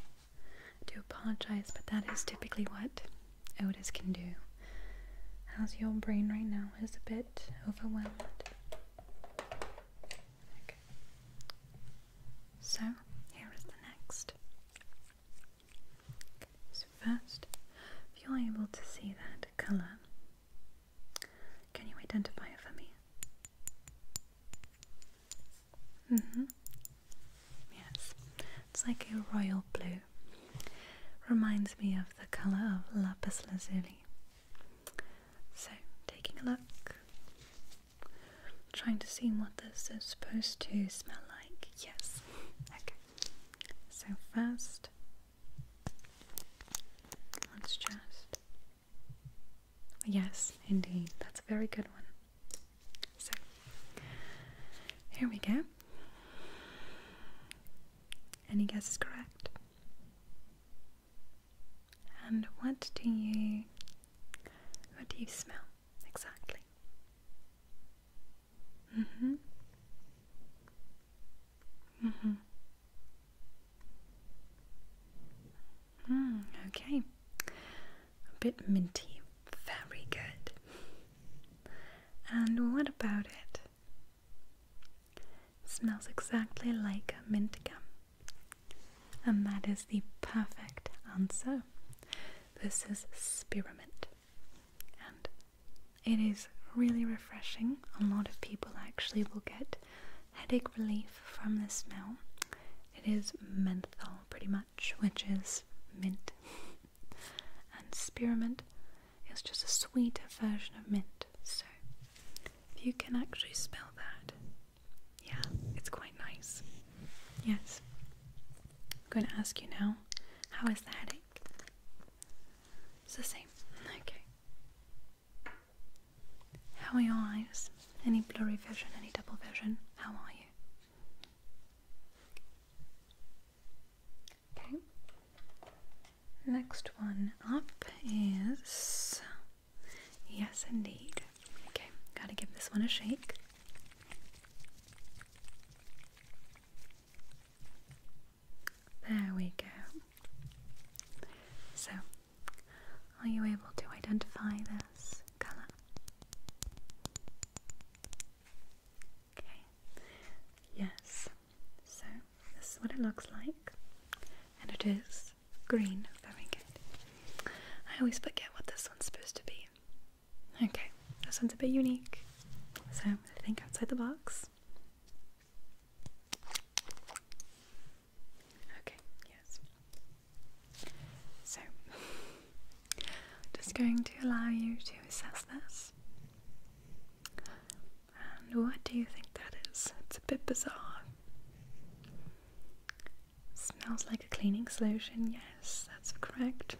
Speaker 1: do apologize, but that is typically what odors can do. How's your brain right now? Is a bit overwhelmed. Okay. So here is the next. so first, if you're able to see that color, can you identify it for me? Mm-hmm. Yes. It's like a royal blue. Reminds me of the colour of lapis lazuli. So, taking a look, trying to see what this is supposed to smell like. Yes, okay. So, first, let's just. Yes, indeed, that's a very good one. So, here we go. Any guesses correct. And what do you what do you smell exactly? Mm-hmm. Mm-hmm. Mm, okay. A bit minty. Very good. And what about it? smells exactly like mint gum. And that is the perfect answer. This is spearmint. And it is really refreshing. A lot of people actually will get headache relief from this smell. It is menthol, pretty much, which is mint. and spearmint it's just a sweeter version of mint. So if you can actually spell that, yeah, it's quite nice. Yes. I'm going to ask you now, how is the headache? It's the same. Okay. How are your eyes? Any blurry vision, any double vision? How are you? Okay. Next one up is Yes Indeed. Okay, gotta give this one a shake. There we go. So, are you able to identify this colour? Okay. Yes, so this is what it looks like, and it is green. Very good. I always forget what this one's supposed to be. Okay, this one's a bit unique. So i think outside the box. Okay, yes. So just going to allow you to assess this. And what do you think that is? It's a bit bizarre. Smells like a cleaning solution, yes, that's correct.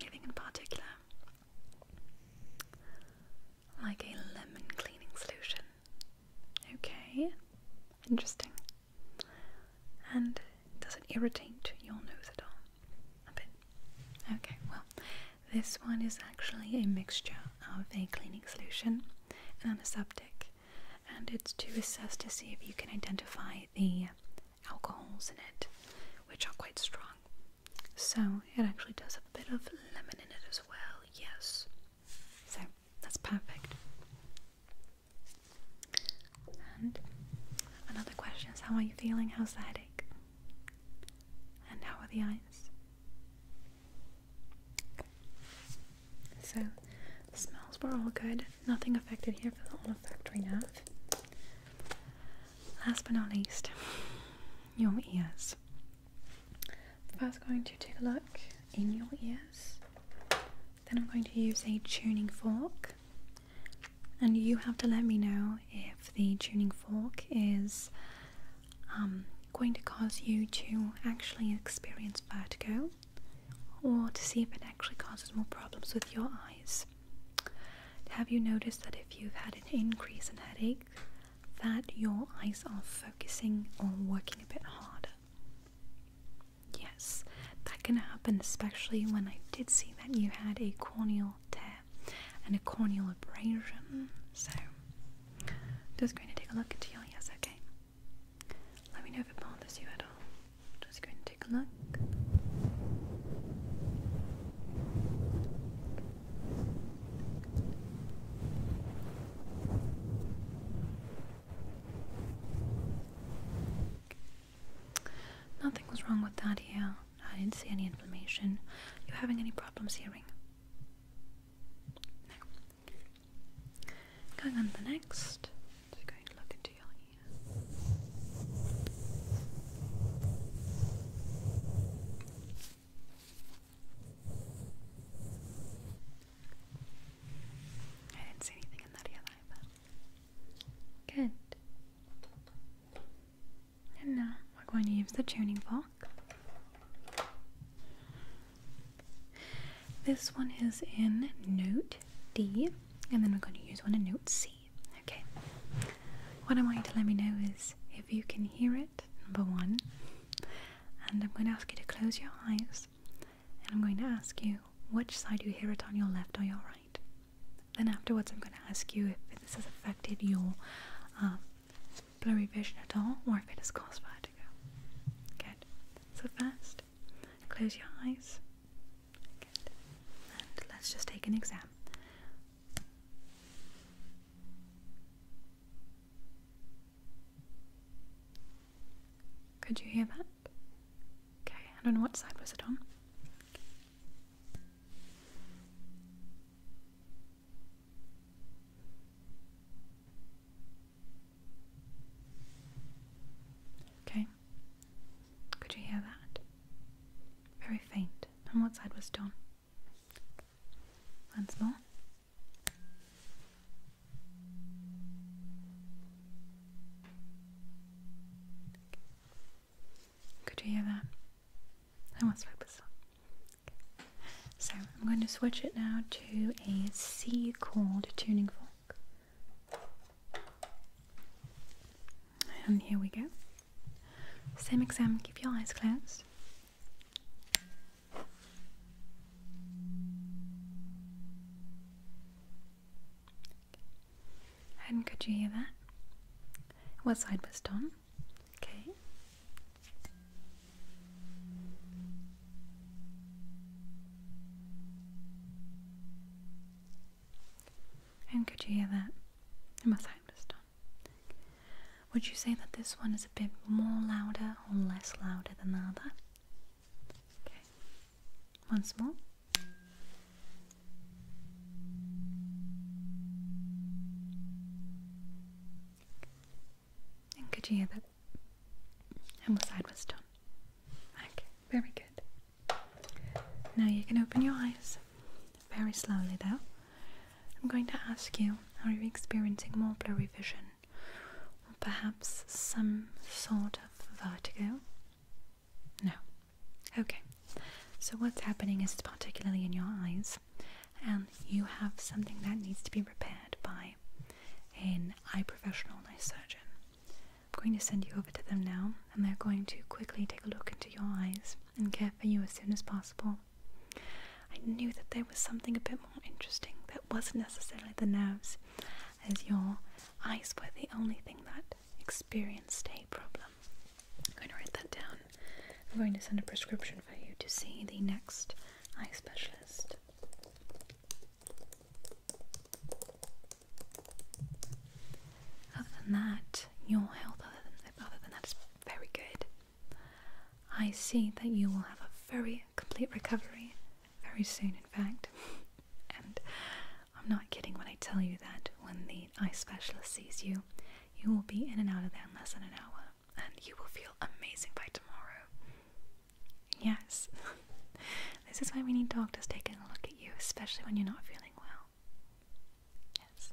Speaker 1: Anything in particular? Like a lemon cleaning solution. Okay, interesting. And does it irritate your nose at all? A bit. Okay, well, this one is actually a mixture of a cleaning solution and antiseptic, and it's to assess to see if you can identify the alcohols in it, which are quite strong. So it actually does have a bit of lemon in it as well, yes. So that's perfect. And another question is how are you feeling? How's the headache? And how are the eyes? So, the smells were all good. Nothing affected here for the olfactory nerve. Last but not least, your ears. First, going to take a look in your ears. Then I'm going to use a tuning fork, and you have to let me know if the tuning fork is um, going to cause you to actually experience vertigo or to see if it actually causes more problems with your eyes. Have you noticed that if you've had an increase in headache, that your eyes are focusing or working a bit harder? Yes, that can happen especially when I did see that you had a corneal tear and a corneal abrasion. So, just going to take a look into your ears, okay? Let me know if it bothers you at all. Just going to take a look. Nothing was wrong with that ear. I didn't see any inflammation. You having any problems hearing? No. Going on to the next. going to look into your ear. I didn't see anything in that either. Good. And now we're going to use the tuning fork. This one is in note D, and then we're going to use one in note C. Okay. What I want you to let me know is if you can hear it, number one. And I'm going to ask you to close your eyes, and I'm going to ask you which side you hear it on, your left or your right. Then afterwards, I'm going to ask you if this has affected your um, blurry vision at all or if it has caused vertigo. Good. So first, close your eyes. Good. And let's just take an exam. Could you hear that? Okay, and on what side was it on? Okay. Could you hear that? Very faint. On what side was Don? Once more. Could you hear that? I must focus on. So I'm going to switch it now to a C chord tuning fork. And here we go. Same exam, keep your eyes closed. And could you hear that? What side was done? Okay. And could you hear that? I must have this done. Would you say that this one is a bit more louder or less louder than the other? Okay. Once more. And could you hear that? And was done? Okay, very good. Now you can open your eyes very slowly though. I'm going to ask you, are you experiencing more blurry vision? Or perhaps some sort of vertigo? No. Okay. So what's happening is it's particularly in your eyes and you have something that needs to be repaired by an eye professional and eye surgeon. I'm going to send you over to them now and they're going to quickly take a look into your eyes and care for you as soon as possible. I knew that there was something a bit more interesting that wasn't necessarily the nerves, as your eyes were the only thing that experienced a problem. I'm going to write that down. I'm going to send a prescription for you to see the next eye specialist. Other than that, your health, other than, other than that, is very good. I see that you will have a very complete recovery very soon, in fact. and I'm not kidding when I tell you that when the eye specialist sees you, you will be in and out of there in less than an hour and you will feel amazing by tomorrow. Yes, this is why we need doctors taking a look at you, especially when you're not feeling well. Yes.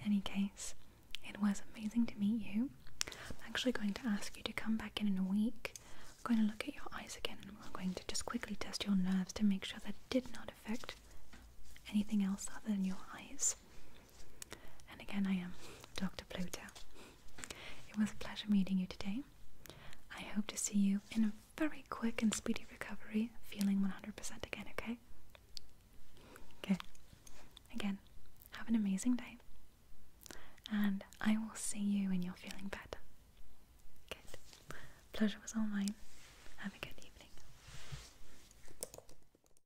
Speaker 1: In any case, it was amazing to meet you. I'm actually going to ask you to come back in in a week. I'm going to look at your eyes again and we're going to just quickly test your nerves to make sure that did not affect anything else other than your eyes. And again, I am Dr. Pluto. It was a pleasure meeting you today. I hope to see you in a very quick and speedy recovery, feeling 100% again, okay? Okay. Again, have an amazing day. And I will see you when you're feeling better. Good. Pleasure was all mine. Have a good evening.